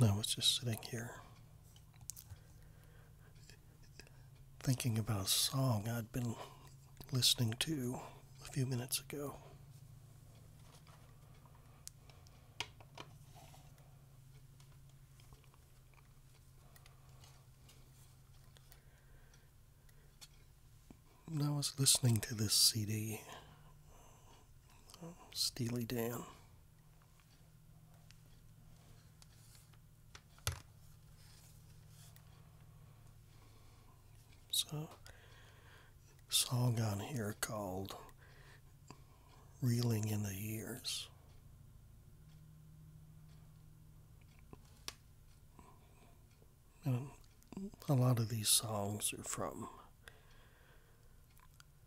Now it's just, just sitting here thinking about a song I'd been listening to a few minutes ago. When I was listening to this CD, Oh, Steely Dan. So, song on here called Reeling in the Years. a lot of these songs are from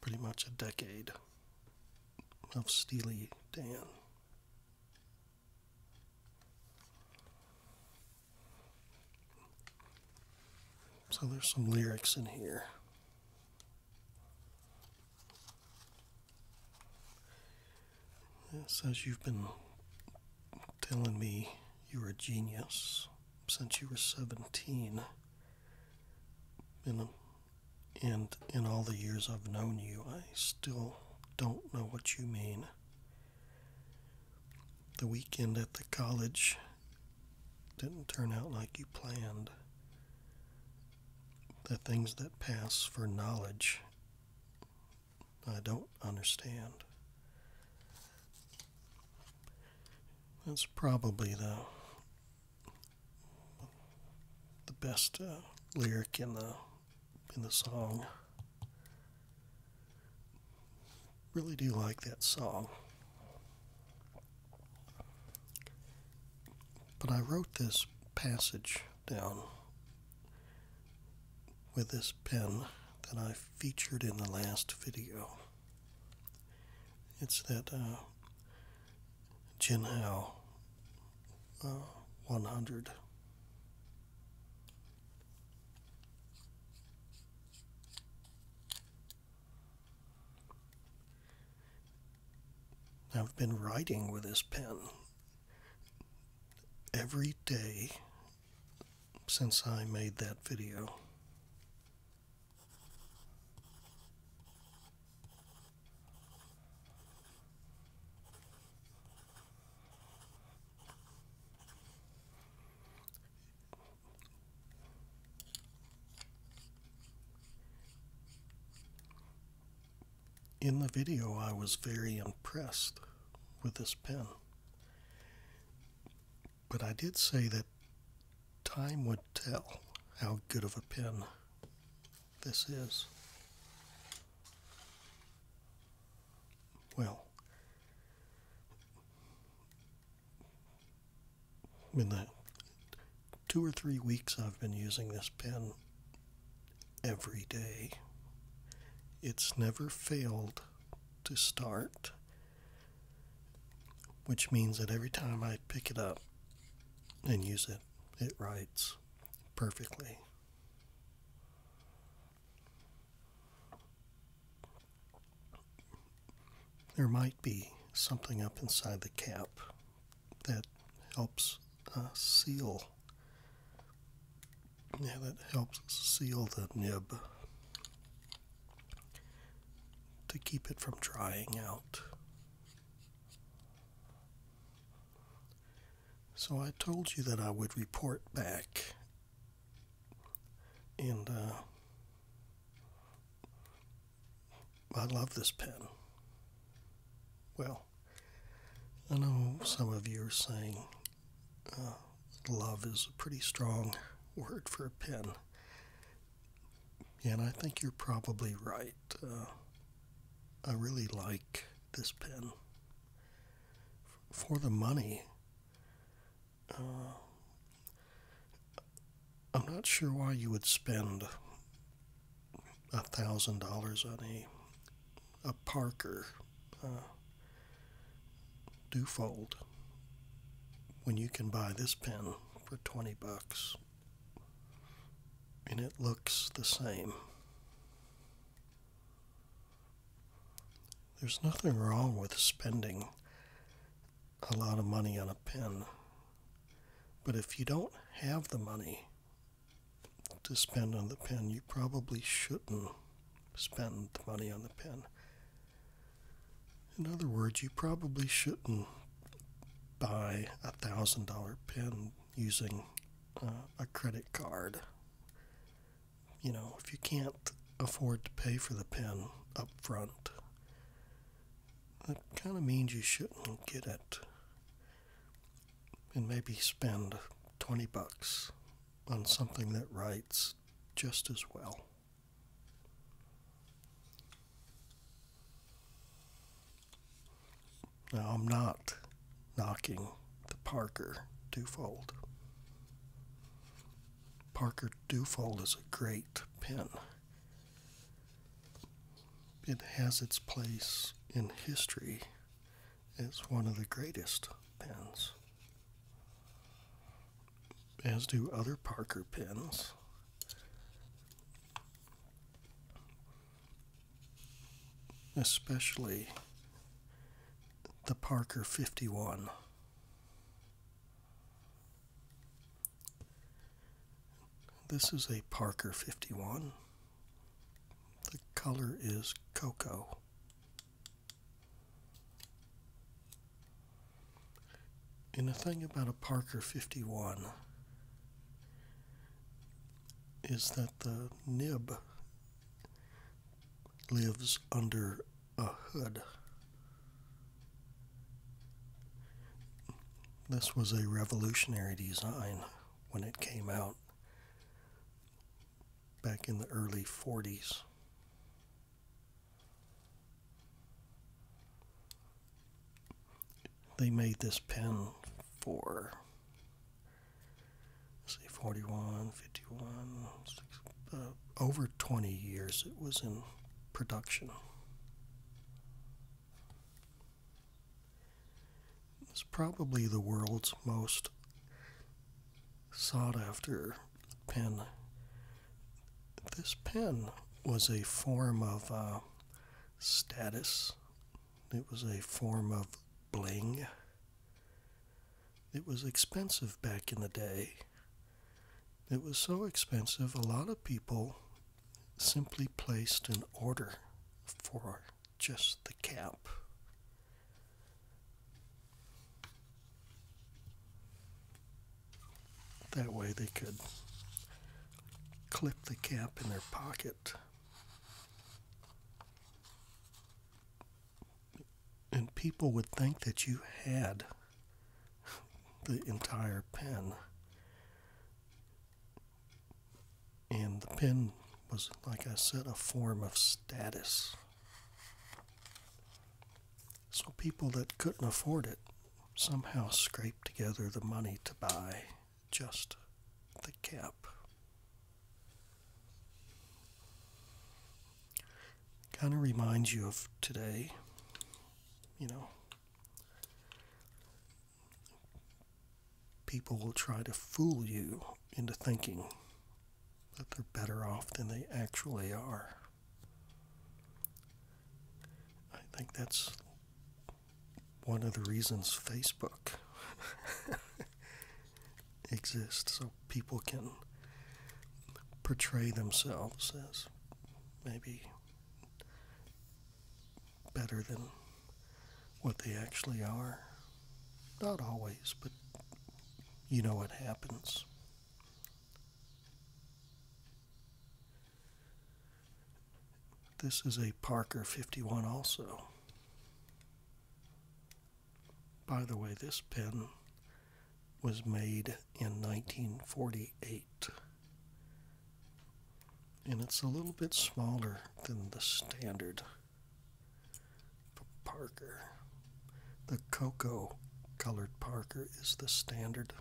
pretty much a decade of Steely Dan. So there's some lyrics in here. It says you've been telling me you are a genius since you were 17. And and in all the years I've known you, I still don't know what you mean. The weekend at the college didn't turn out like you planned. The things that pass for knowledge, I don't understand. That's probably the the best uh, lyric in the in the song. Really do like that song. But I wrote this passage down with this pen that I featured in the last video. It's that uh, Jinhao. Uh, 100. I've been writing with this pen every day since I made that video. In the video, I was very impressed with this pen. But I did say that time would tell how good of a pen this is. Well, in the two or three weeks I've been using this pen every day, it's never failed to start, which means that every time I pick it up, and use it. It writes perfectly. There might be something up inside the cap that helps uh, seal. Yeah, that helps seal the nib to keep it from drying out. So I told you that I would report back, and uh, I love this pen. Well, I know some of you are saying uh, love is a pretty strong word for a pen, yeah, and I think you're probably right. Uh, I really like this pen. For the money, uh, I'm not sure why you would spend a thousand dollars on a a Parker uh, Dufold when you can buy this pen for twenty bucks and it looks the same. There's nothing wrong with spending a lot of money on a pen, but if you don't have the money to spend on the pen, you probably shouldn't spend the money on the pen. In other words, you probably shouldn't buy a thousand dollar pen using uh, a credit card. You know, if you can't afford to pay for the pen up front, that kind of means you shouldn't get it. And maybe spend 20 bucks on something that writes just as well. Now, I'm not knocking the Parker Dufold. Parker Dufold is a great pen. It has its place in history It's one of the greatest pens, as do other Parker pens especially the Parker 51. This is a Parker 51. The color is cocoa. And the thing about a Parker 51 is that the nib lives under a hood. This was a revolutionary design when it came out back in the early 40s they made this pen for say, 41 51 uh, over 20 years it was in production it's probably the world's most sought after pen this pen was a form of uh, status it was a form of bling. It was expensive back in the day. It was so expensive, a lot of people simply placed an order for just the cap. That way they could clip the cap in their pocket and people would think that you had the entire pen. And the pen was, like I said, a form of status. So people that couldn't afford it somehow scraped together the money to buy just the cap. Kind of reminds you of today, you know. People will try to fool you into thinking that they're better off than they actually are. I think that's one of the reasons Facebook exists, so people can portray themselves as maybe better than what they actually are. Not always, but you know what happens. This is a Parker 51 also. By the way, this pen was made in 1948. And it's a little bit smaller than the standard Parker. The cocoa colored Parker is the standard.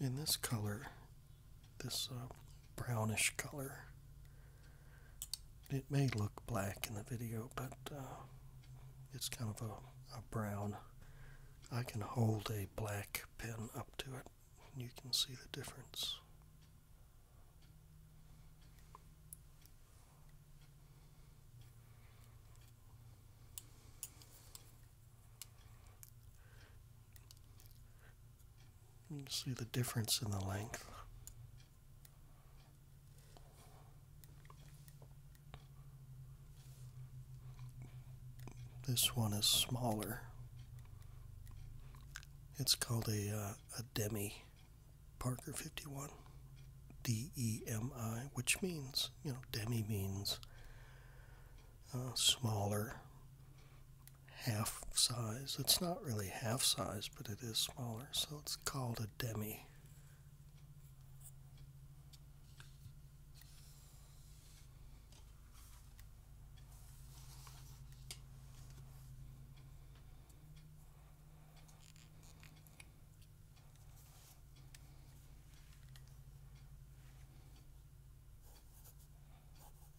In this color this uh, brownish color. It may look black in the video, but uh, it's kind of a, a brown. I can hold a black pen up to it. You can see the difference. You can see the difference in the length. This one is smaller. It's called a, uh, a Demi Parker 51. D E M I, which means, you know, demi means uh, smaller half size. It's not really half size, but it is smaller, so it's called a demi.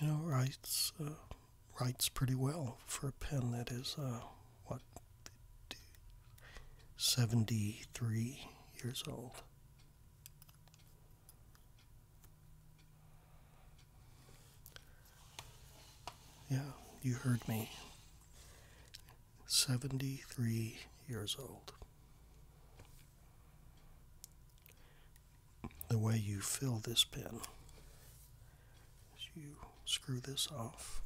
you know, writes writes uh, pretty well for a pen that is uh, what seventy three years old. Yeah, you heard me. 73 years old. The way you fill this pen you screw this off.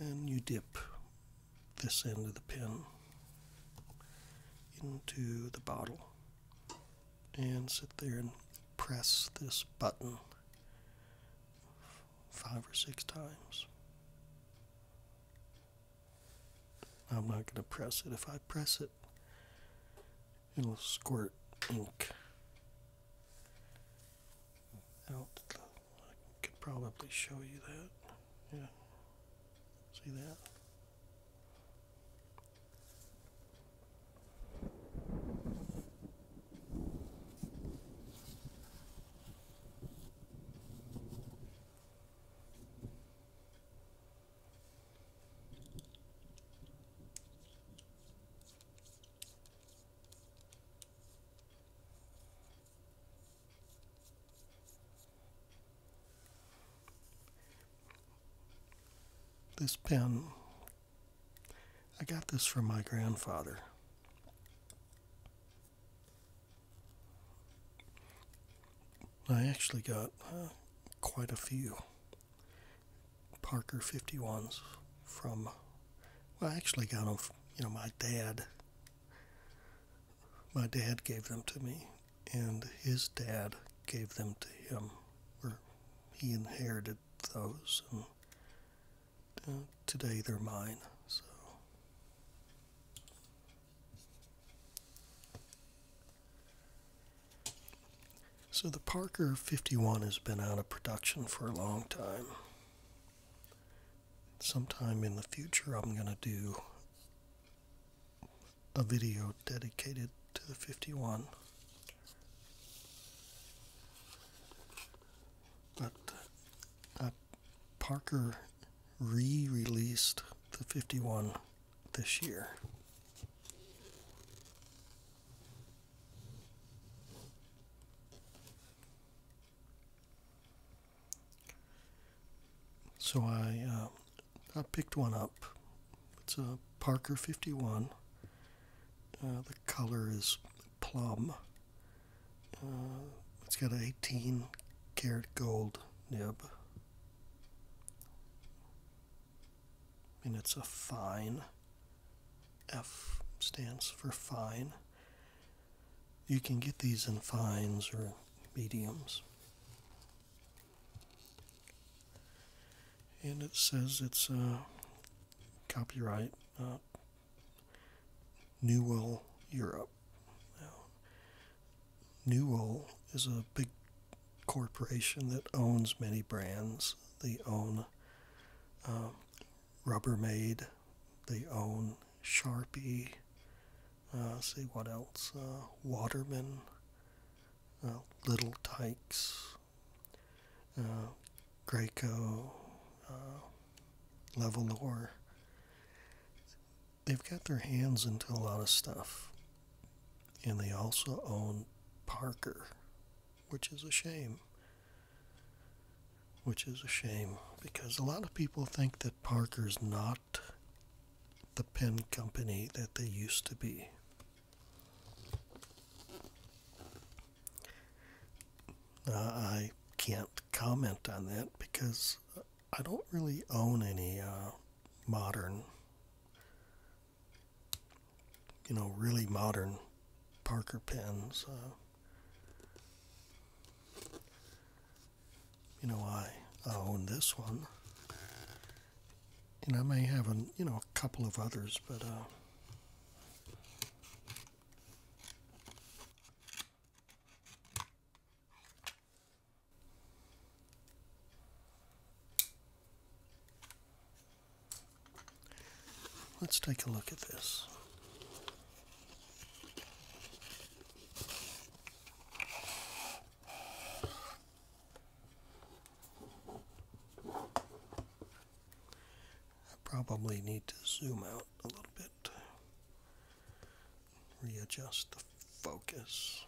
And you dip this end of the pin into the bottle and sit there and press this button five or six times. I'm not going to press it. If I press it, it'll squirt ink out. I could probably show you that. Yeah. See that? This pen, I got this from my grandfather. I actually got uh, quite a few Parker 51s from, well, I actually got them, you know, my dad my dad gave them to me, and his dad gave them to him, Where he inherited those, and uh, today they're mine. So. So the Parker 51 has been out of production for a long time. Sometime in the future I'm going to do a video dedicated to the 51. But uh, Parker re released the 51 this year. So I, um, I picked one up. It's a Parker 51. Uh, the color is plum. Uh, it's got an 18 karat gold nib. And it's a fine. F stands for fine. You can get these in fines or mediums and it says it's uh, copyright uh, Newell Europe. Newell is a big corporation that owns many brands. They own uh, Rubbermaid, they own Sharpie, uh, see what else? Uh, Waterman, uh, Little Tykes, Greco, Levelor. They've got their hands into a lot of stuff. And they also own Parker, which is a shame. Which is a shame because a lot of people think that Parker's not the pen company that they used to be. I can't comment on that because I don't really own any uh, modern, you know, really modern Parker pens. Uh, you know, I own this one. And I may have, a, you know, a couple of others, but... Uh, let's take a look at this. I probably need to zoom out a little bit, readjust the focus.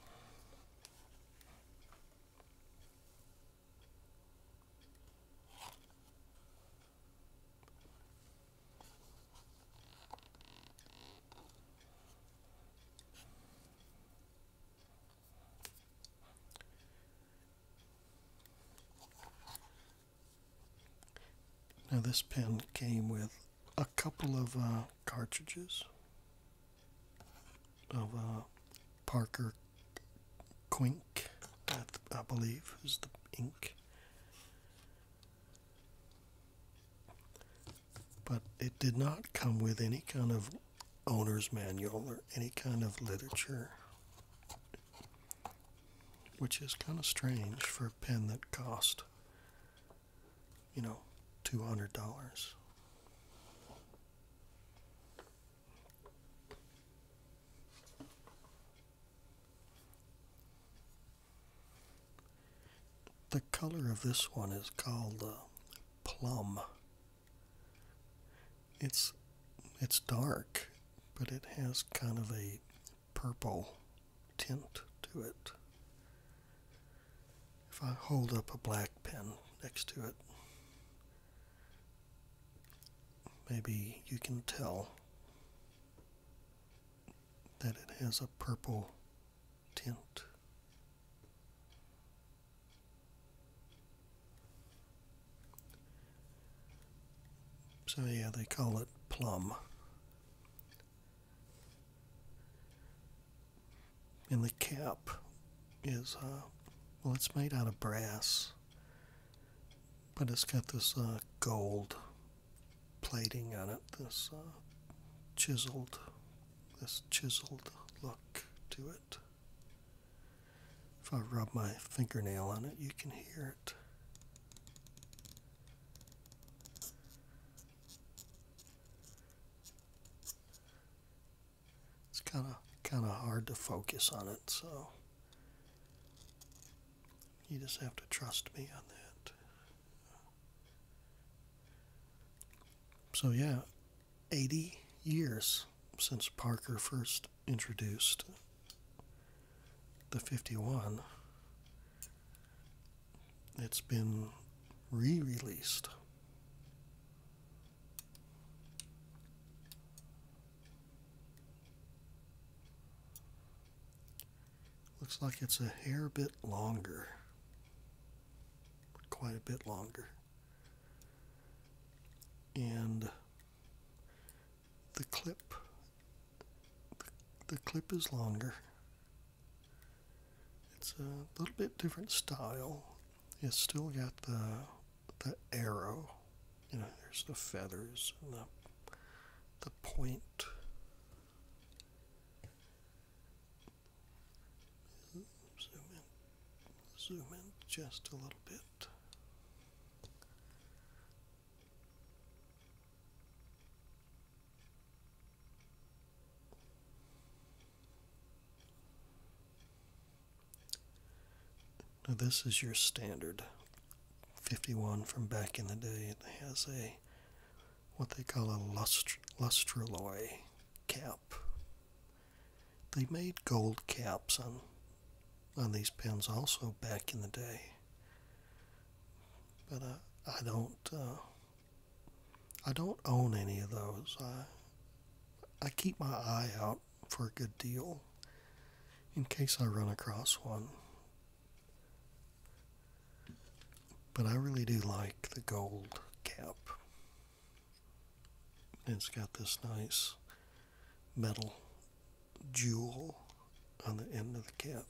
Now, this pen came with a couple of uh, cartridges of uh, Parker Quink, I, I believe, is the ink but it did not come with any kind of owner's manual or any kind of literature, which is kind of strange for a pen that cost, you know, $200 the color of this one is called uh, plum. It's it's dark, but it has kind of a purple tint to it. If I hold up a black pen next to it, maybe you can tell that it has a purple tilt. So, yeah, they call it plum. And the cap is, uh, well, it's made out of brass, but it's got this uh, gold plating on it, this uh, chiseled this chiseled look to it. If I rub my fingernail on it, you can hear it. It's kind of kind of hard to focus on it, so you just have to trust me on that. So, yeah, 80 years since Parker first introduced the 51. It's been re released. Looks like it's a hair bit longer quite a bit longer. And the clip the, clip is longer. It's a little bit different style. It's still got the the arrow. You know, there's the feathers and the the point. Zoom in, zoom in just a little bit. Now this is your standard 51 from back in the day. It has a what they call a lustr cap they made gold caps on on these pens also back in the day. But uh, I, don't uh, I don't own any of those. I I keep my eye out for a good deal in case I run across one. But I really do like the gold cap. It's got this nice metal jewel on the end of the cap.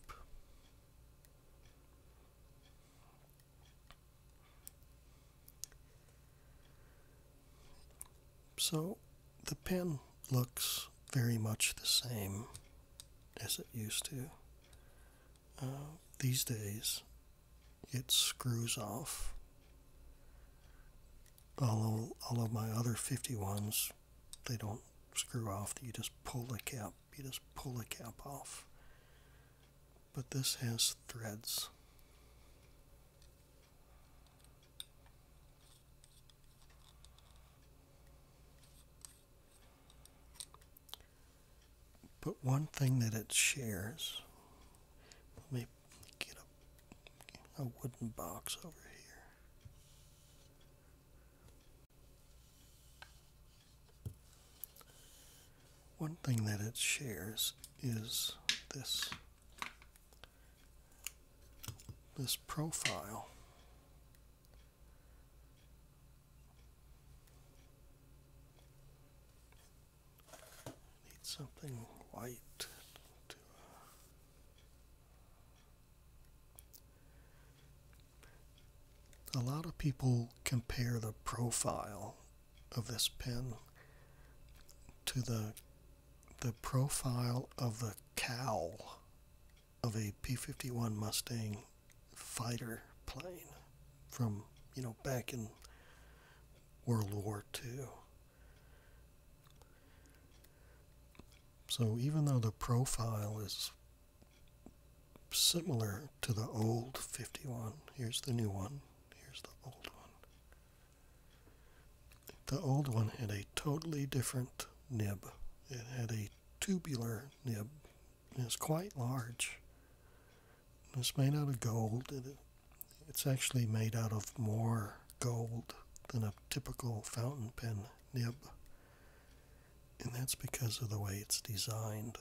So the pen looks very much the same as it used to. Uh, these days, it screws off all, all of my other 51s, they don't screw off. You just pull the cap. You just pull the cap off. But this has threads. But one thing that it shares, let me get a, wooden box over here. One thing that it shares is this this profile. I need something white uh, a lot of people compare the profile of this pen to the the profile of the cowl of a P-51 Mustang fighter plane from you know back in World War II. So even though the profile is similar to the old 51, here's the new one, here's the old one. The old one had a totally different nib. It had a tubular nib. It's quite large. It's made out of gold. it's actually made out of more gold than a typical fountain pen nib. And that's because of the way it's designed.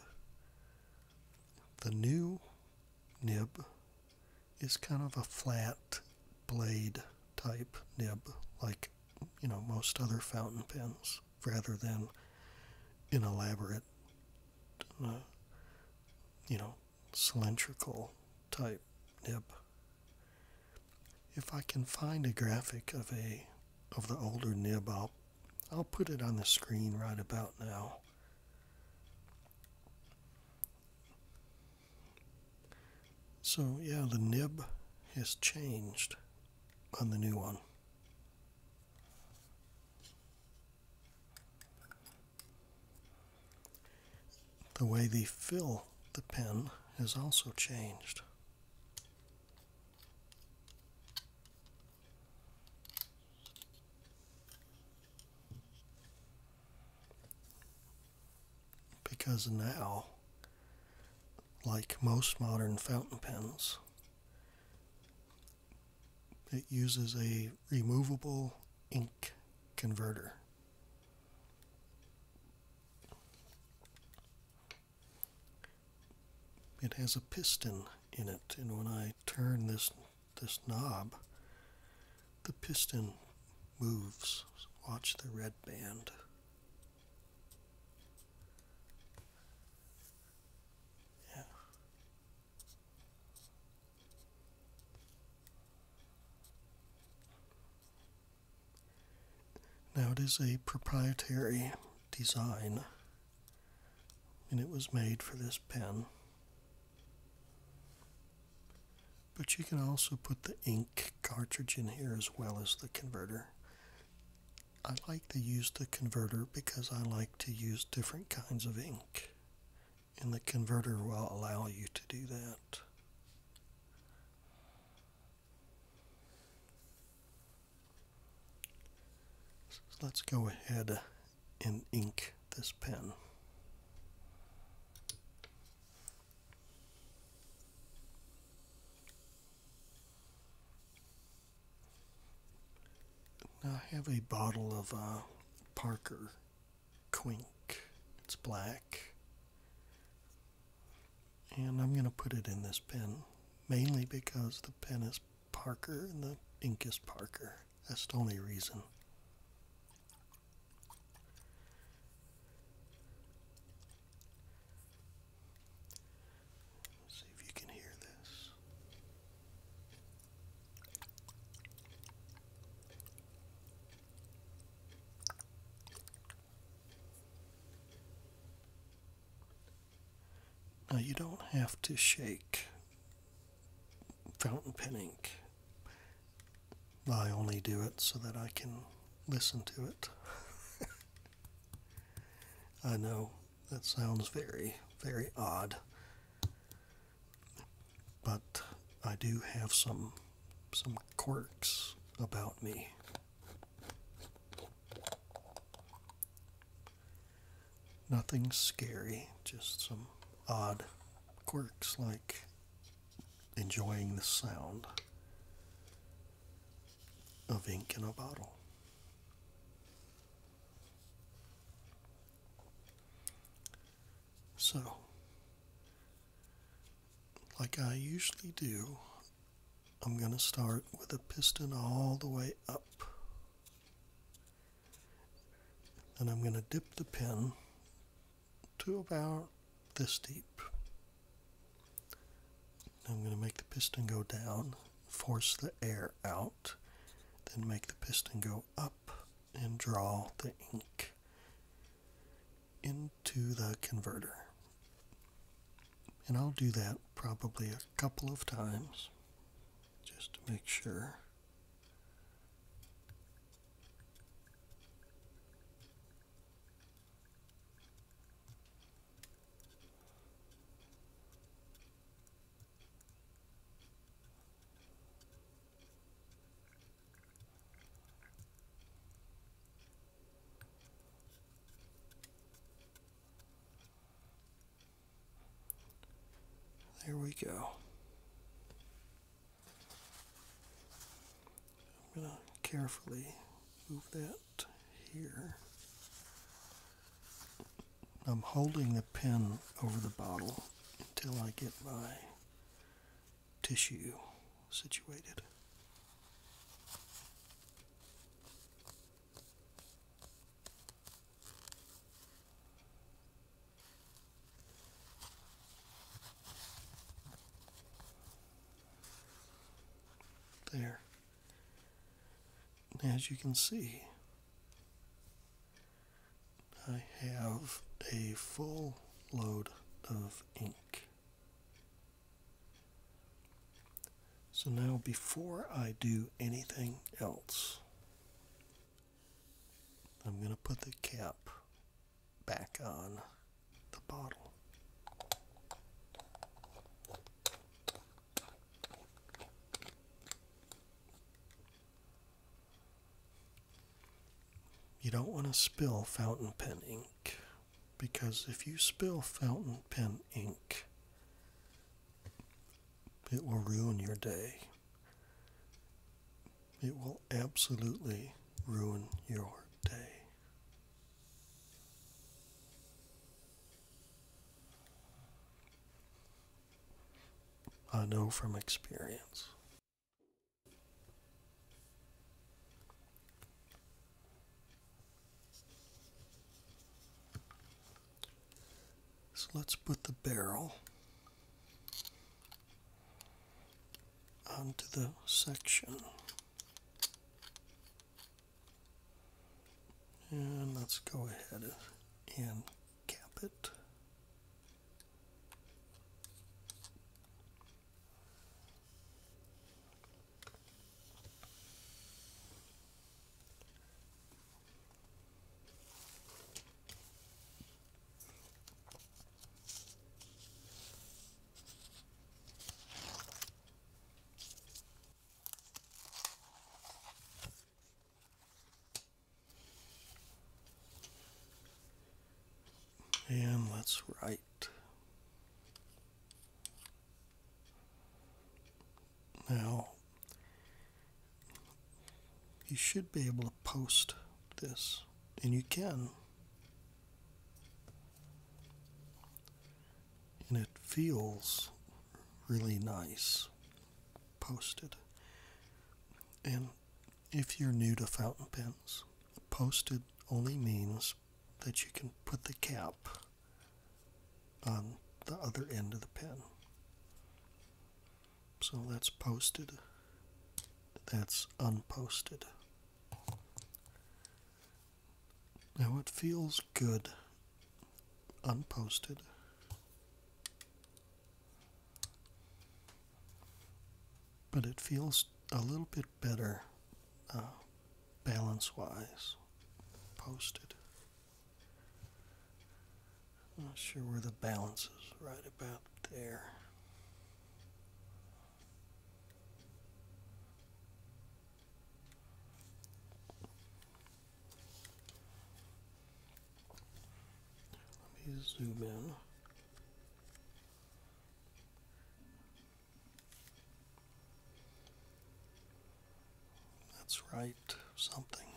The new nib is kind of a flat blade type nib, like you know most other fountain pens, rather than an elaborate uh, you know, cylindrical type nib. If I can find a graphic of a of the older nib, I'll I'll put it on the screen right about now. So yeah, the nib has changed on the new one. The way they fill the pen has also changed. Because now, like most modern fountain pens, it uses a removable ink converter. It has a piston in it, and when I turn this this knob, the piston moves. Watch the red band. Yeah. Now it is a proprietary design and it was made for this pen. But you can also put the ink cartridge in here as well as the converter. I like to use the converter because I like to use different kinds of ink and the converter will allow you to do that. let's go ahead and ink this pen. I have a bottle of uh, Parker Quink. It's black. And I'm going to put it in this pen, mainly because the pen is Parker and the ink is Parker. That's the only reason. see if you can hear this. Now you don't have to shake fountain pen ink. I only do it so that I can listen to it. I know that sounds very, very odd but I do have some some quirks about me. Nothing scary, just some odd quirks like enjoying the sound of ink in a bottle. So, like I usually do, I'm going to start with a piston all the way up. And I'm going to dip the pen to about this deep. I'm going to make the piston go down, force the air out, then make the piston go up and draw the ink into the converter. And I'll do that probably a couple of times just to make sure. There we go. I'm going to carefully move that here. I'm holding the pen over the bottle until I get my tissue situated. There. As you can see, I have a full load of ink. So now before I do anything else, I'm going to put the cap back on the bottle. You don't want to spill fountain pen ink because if you spill fountain pen ink, it will ruin your day. It will absolutely ruin your day. I know from experience. So let's put the barrel onto the section. And let's go ahead and Gambit. And let's write. Now, you should be able to post this, and you can. And it feels really nice posted. And if you're new to fountain pens, posted only means that you can put the cap on the other end of the pen. So that's posted, that's unposted. Now it feels good unposted but it feels a little bit better uh, balance wise posted. I'm not sure where the balance is, right about there. Let me zoom in. Let's write something.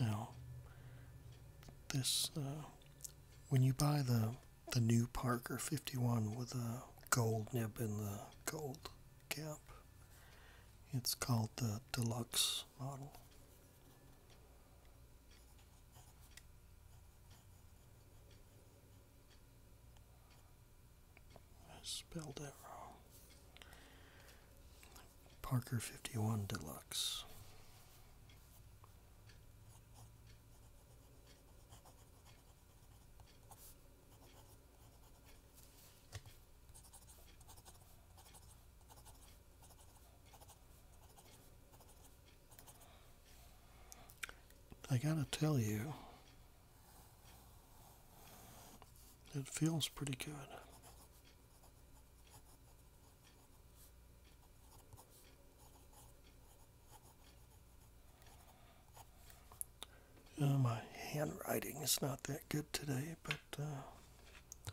Now, this uh, when you buy the the new Parker 51 with a gold nib and the gold cap, it's called the deluxe model. I spelled that wrong. Parker 51 Deluxe. I gotta tell you, it feels pretty good. Oh, my handwriting is not that good today, but uh,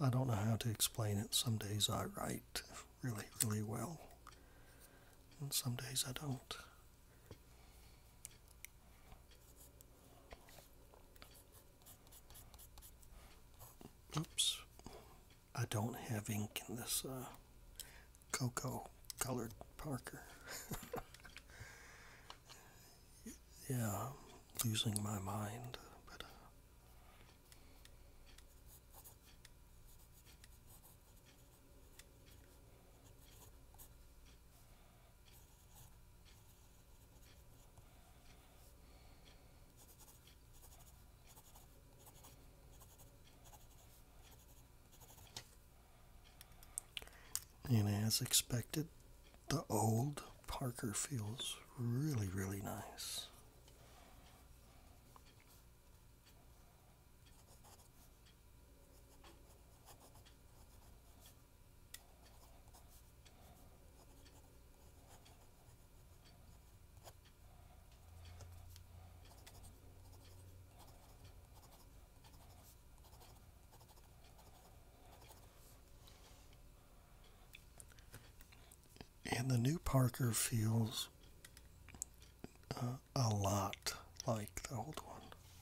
I don't know how to explain it. Some days I write really, really well, and some days I don't. Oops. I don't have ink in this uh, cocoa colored Parker. yeah, losing my mind. But, uh, and as expected, the old Parker feels really, really nice. And the new Parker feels uh, a lot like the old one.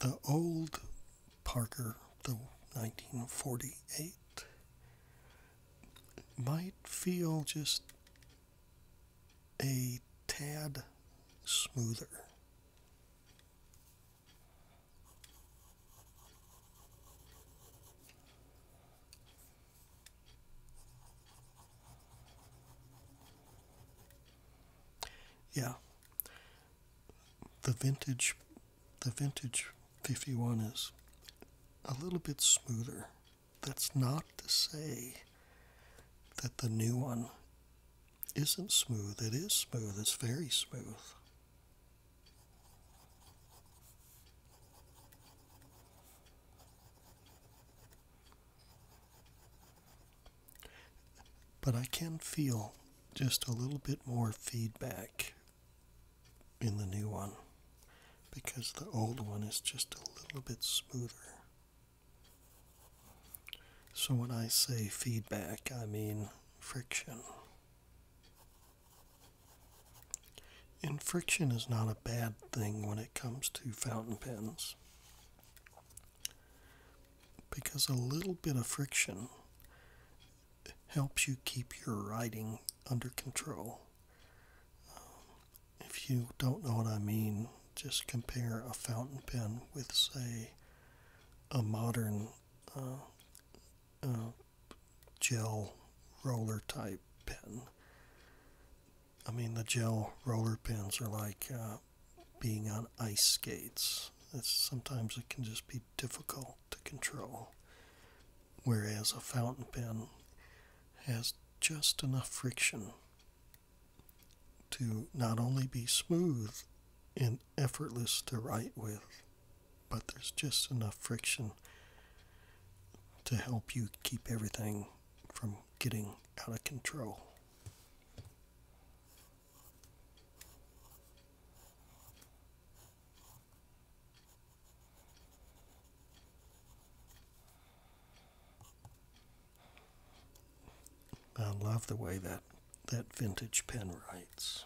The old Parker, the 1948, might feel just a tad smoother. Yeah. The vintage the vintage 51 is a little bit smoother. That's not to say that the new one isn't smooth. It is smooth. It's very smooth. But I can feel just a little bit more feedback in the new one because the old one is just a little bit smoother. So when I say feedback, I mean friction. And friction is not a bad thing when it comes to fountain pens. Because a little bit of friction helps you keep your writing under control if you don't know what I mean, just compare a fountain pen with, say, a modern uh, uh, gel roller type pen. I mean, the gel roller pens are like uh, being on ice skates. sometimes it can just be difficult to control. Whereas a fountain pen has just enough friction to not only be smooth and effortless to write with, but there's just enough friction to help you keep everything from getting out of control. I love the way that, that vintage pen writes.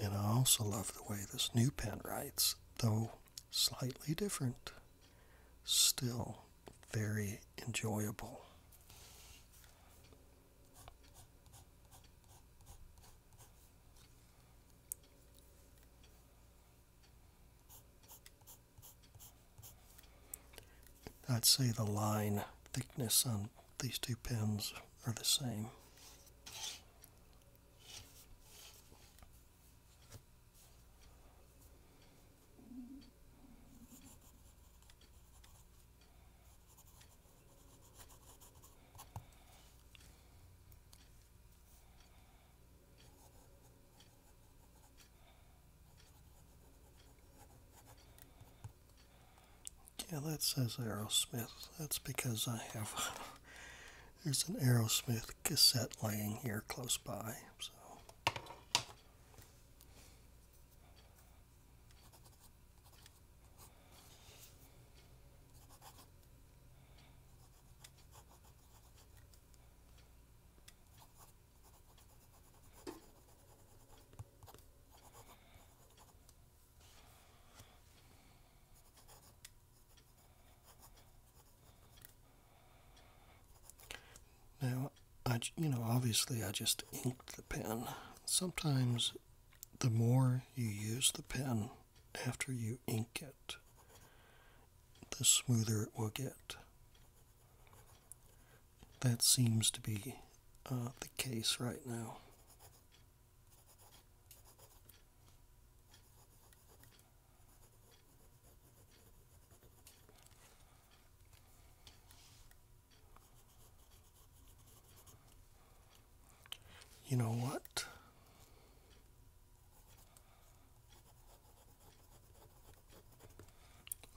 And I also love the way this new pen writes, though slightly different, still very enjoyable. I'd say the line thickness on these two pens are the same. Yeah, that says Aerosmith. That's because I have there's an Aerosmith cassette laying here close by. So. Now, I, you know, obviously I just inked the pen. Sometimes the more you use the pen after you ink it, the smoother it will get. That seems to be uh, the case right now. You know what?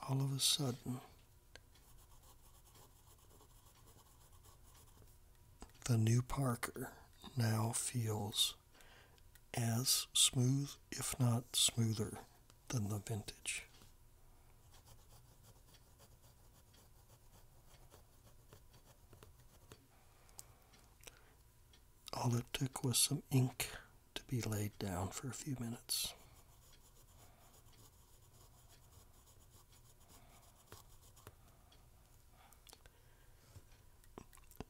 All of a sudden, the new Parker now feels as smooth, if not smoother, than the vintage. All it took was some ink to be laid down for a few minutes.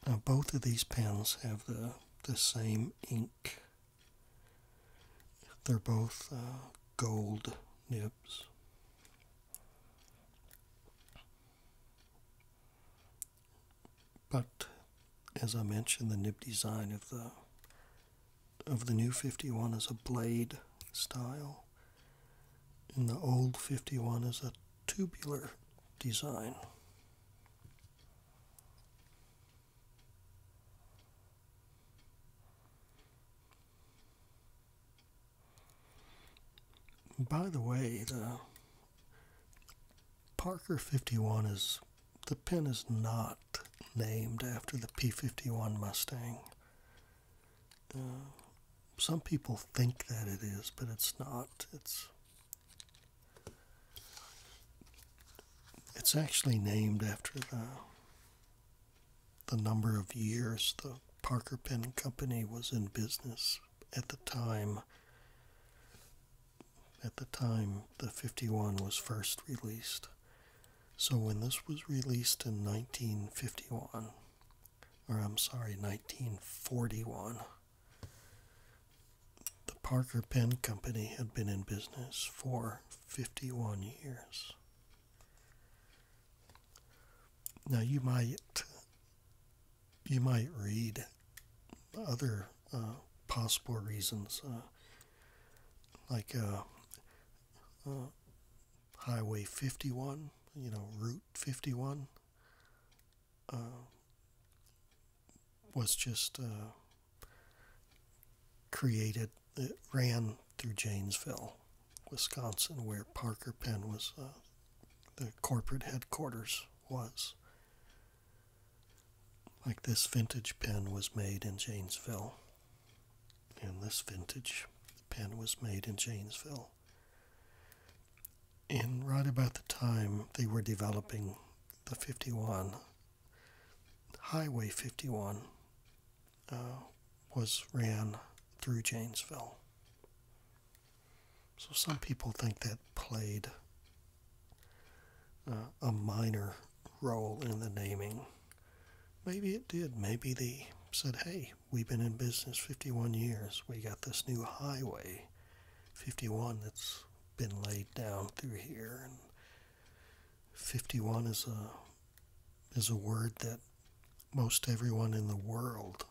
Now both of these pens have the, the same ink. They're both uh, gold nibs. But as I mentioned, the nib design of the of the new 51 is a blade style, and the old 51 is a tubular design. By the way, the Parker 51 is the pen is not named after the P51 Mustang. some people think that it is, but it's not. It's it's actually named after the the number of years the Parker Pen Company was in business at the time. At the time the 51 was first released. So when this was released in 1951, or I'm sorry, 1941, the Parker Pen Company had been in business for 51 years. Now you might you might read other uh, possible reasons, uh, like uh, Highway 51, you know, Route 51 was just created it ran through Janesville, Wisconsin, where Parker Pen was, uh, the corporate headquarters was. Like this vintage pen was made in Janesville, and this vintage pen was made in Janesville. In right about the time they were developing the 51, Highway 51 uh, was ran through Janesville. So some people think that played uh, a minor role in the naming. Maybe it did. Maybe they said, hey, we've been in business 51 years. We got this new highway, 51, that's been laid down through here. And 51 is a is a word that most everyone in the world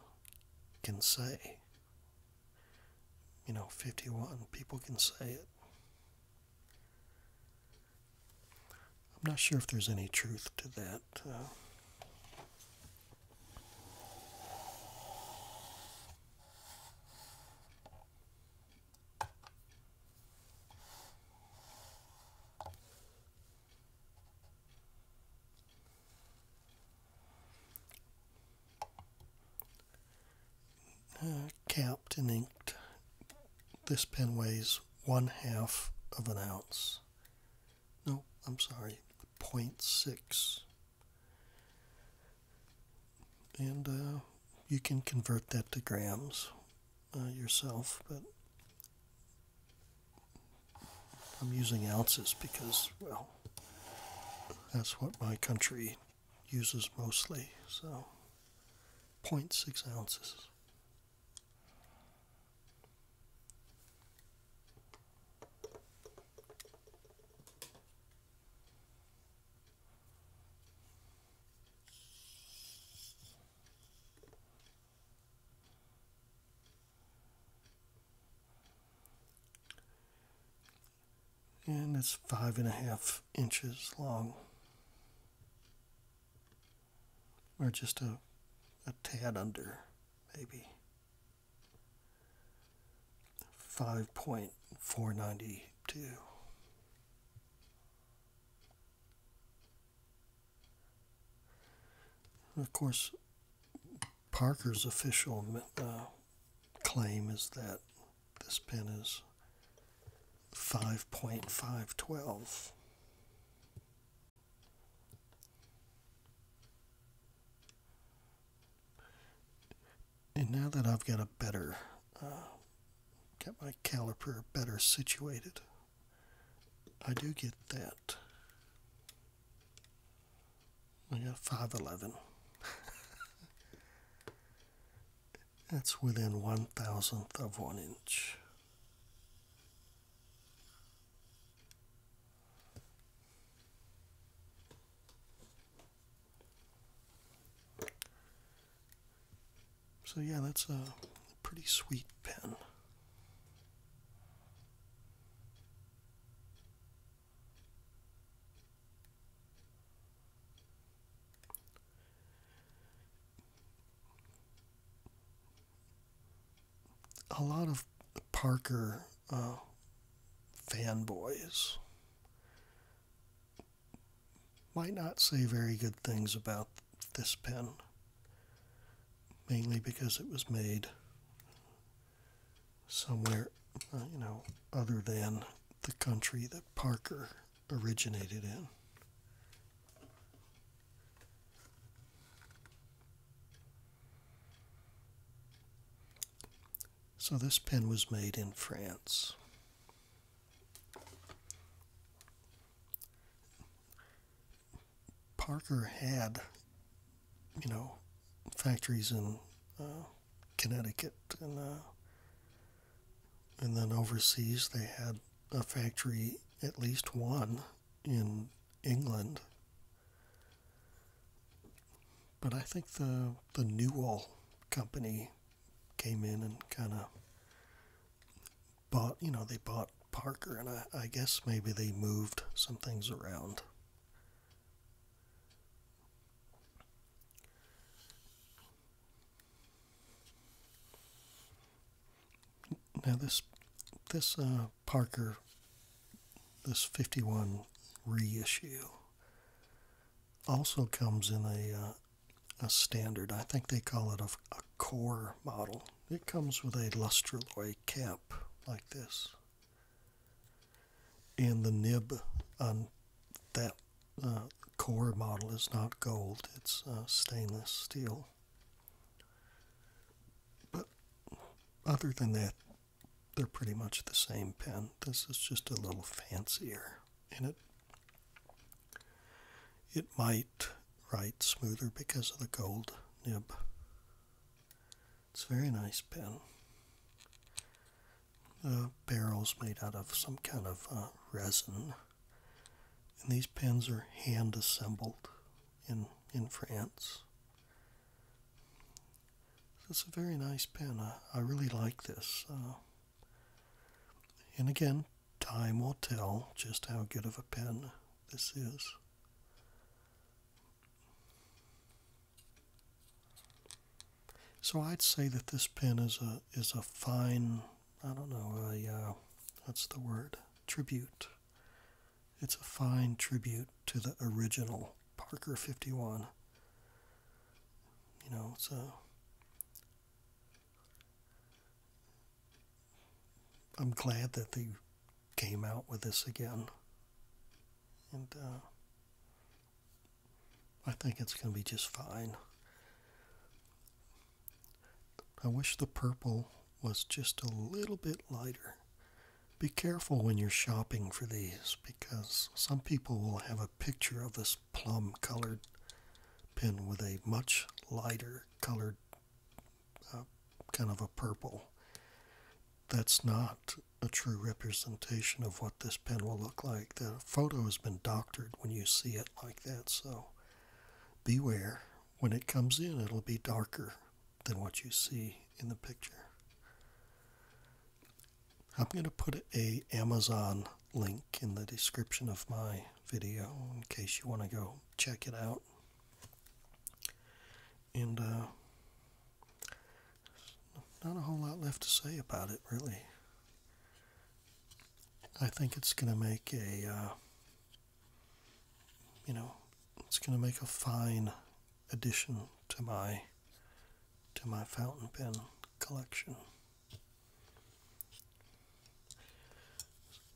can say. You know, 51 people can say it. I'm not sure if there's any truth to that. Uh, uh, and inked. This pen weighs one half of an ounce. No, I'm sorry, 0.6. And uh, you can convert that to grams uh, yourself, but I'm using ounces because, well, that's what my country uses mostly. So, 0.6 ounces and it's five and a half inches long or just a, a tad under maybe 5.492 of course, Parker's official uh, claim is that this pen is 5.512. And now that I've got a better, uh, got my caliper better situated, I do get that we got five eleven. That's within one thousandth of one inch. So yeah, that's a pretty sweet pen a lot of Parker uh, fanboys might not say very good things about this pen mainly because it was made somewhere, uh, you know, other than the country that Parker originated in. So this pen was made in France. Parker had, you know, factories in uh, Connecticut and uh, and then overseas they had a factory, at least one, in England. But I think the the Newell company came in and kind of bought, you know, they bought Parker, and I, guess maybe they moved some things around. Now this this uh, Parker this 51 reissue also comes in a uh, a standard. I think they call it a, a core model. It comes with a Lustraloy cap like this, and the nib on uh, that uh, core model is not gold, it's uh, stainless steel. But other than that, they're pretty much the same pen. This is just a little fancier, and it it might write smoother because of the gold nib. It's a very nice pen. The barrel's made out of some kind of uh, resin. And these pens are hand assembled in, in France. it's a very nice pen. I, really like this. Uh. and again, time will tell just how good of a pen this is. So I'd say that this pen is a is a fine, I don't know, a uh, what's the word? Tribute. It's a fine tribute to the original Parker 51. You know, it's a I'm glad that the came out with this again. And uh, I think it's going to be just fine. I wish the purple was just a little bit lighter. Be careful when you're shopping for these because some people will have a picture of this plum colored pen with a much lighter colored kind of a purple. That's not a true representation of what this pen will look like. The photo has been doctored when you see it like that, so beware. When it comes in, it'll be darker than what you see in the picture. I'm going to put a Amazon link in the description of my video in case you want to go check it out and uh, not a whole lot left to say about it, really. I think it's going to make a, uh, you know, it's going to make a fine addition to my to my fountain pen collection.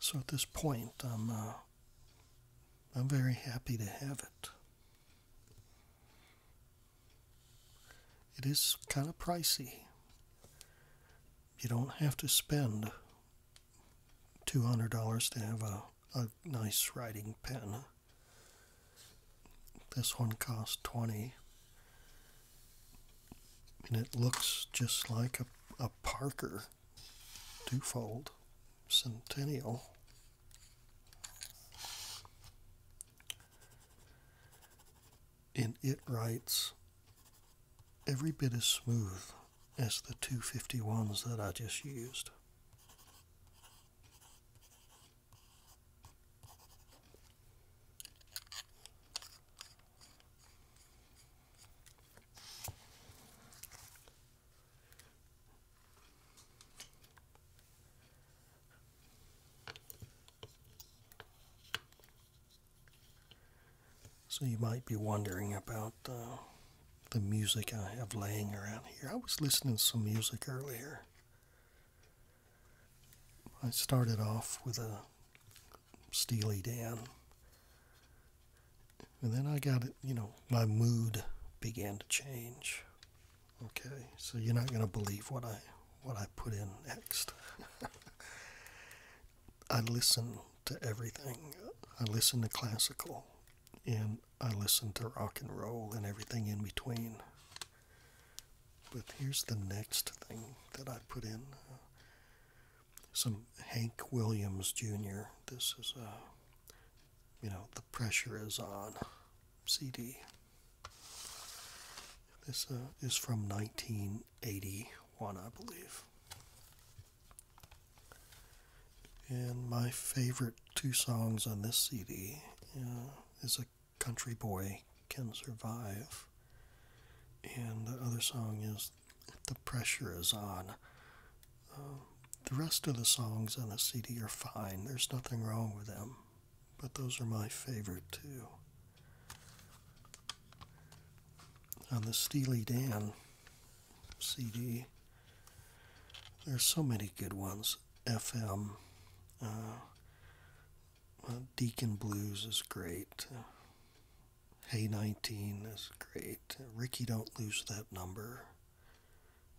So at this point, I'm uh, I'm very happy to have it. It is kind of pricey. You don't have to spend $200 to have a, a nice writing pen. This one cost 20 and it looks just like a, a Parker twofold centennial. And it writes every bit as smooth as the 251s that I just used. So you might be wondering about uh, the music I have laying around here. I was listening to some music earlier. I started off with a Steely Dan and then I got it, you know, my mood began to change. Okay, so you're not going to believe what I what I put in next. I listen to everything. I listen to classical, and I listen to rock and roll and everything in between. But here's the next thing that I put in: some Hank Williams Jr. This is a uh, you know, the pressure is on CD. This uh, is from 1981, I believe. And my favorite two songs on this CD uh, is A Country Boy Can Survive, and the other song is The Pressure Is On the rest of the songs on the CD are fine. There's nothing wrong with them, but those are my favorite too. On the Steely Dan CD, there's so many good ones. FM, uh, uh, Deacon Blues is great. Hey 19 is great. Ricky Don't Lose That Number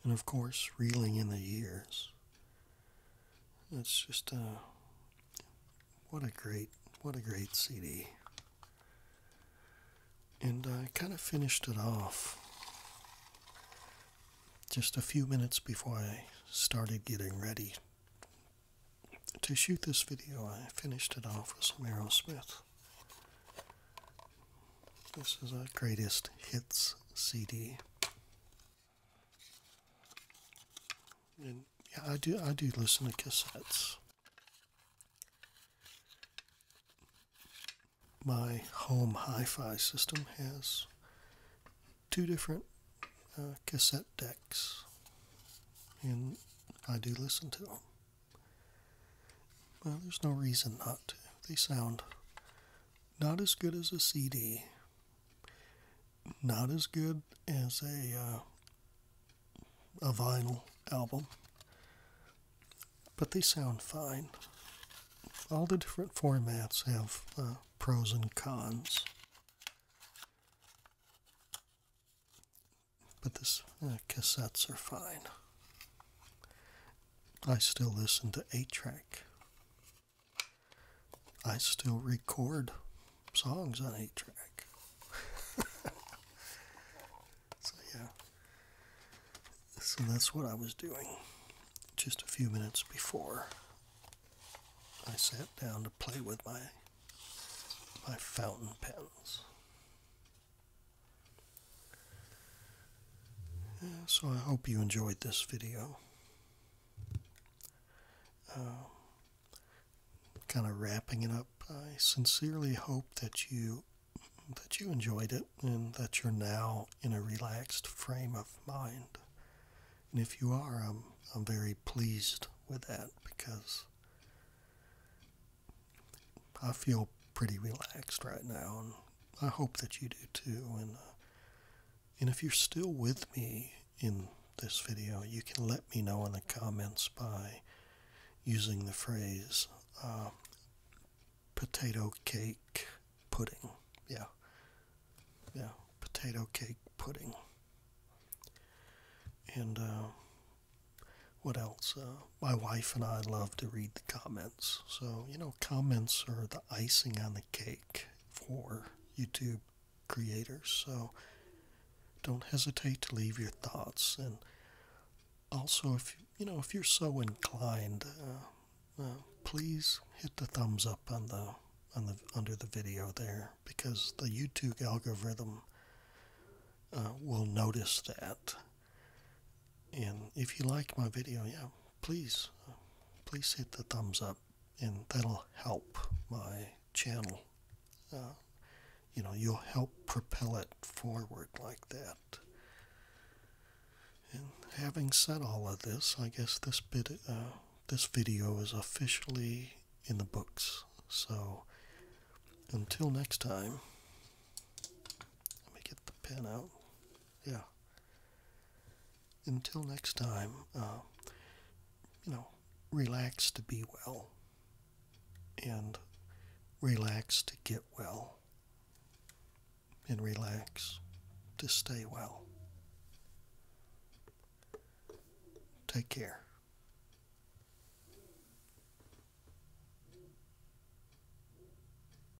and of course, reeling in the years. That's just uh, what a great, what a great CD. And I kind of finished it off just a few minutes before I started getting ready to shoot this video. I finished it off with Meryl Smith. This is our greatest hits CD. And yeah, I do I do listen to cassettes. My home hi-fi system has two different uh, cassette decks, and I do listen to them. Well, there's no reason not to. They sound not as good as a CD, not as good as a uh, a vinyl album, but they sound fine. All the different formats have uh, pros and cons. But this uh, cassettes are fine. I still listen to 8 track. I still record songs on 8 track. so, yeah. So that's what I was doing just a few minutes before I sat down to play with my my fountain pens. So I hope you enjoyed this video. Uh, kind of wrapping it up. I sincerely hope that you that you enjoyed it and that you're now in a relaxed frame of mind. And if you are, I'm I'm very pleased with that because I feel pretty relaxed right now and I hope that you do too. And uh, and if you're still with me in this video, you can let me know in the comments by using the phrase uh, potato cake pudding. Yeah. Yeah. Potato cake pudding. And uh, what else? my wife and I love to read the comments. So, you know, comments are the icing on the cake for YouTube creators. So, don't hesitate to leave your thoughts. And also, if you know, if you're so inclined, uh, uh, please hit the thumbs up on the on the under the video there because the YouTube algorithm uh, will notice that. And if you like my video, yeah, please, please hit the thumbs up, and that'll help my channel. Uh, you know, you'll help propel it forward like that. And having said all of this, I guess this bit, uh, this video is officially in the books. So, until next time, let me get the pen out yeah. Until next time, uh, you know, relax to be well and relax to get well and relax to stay well. Take care.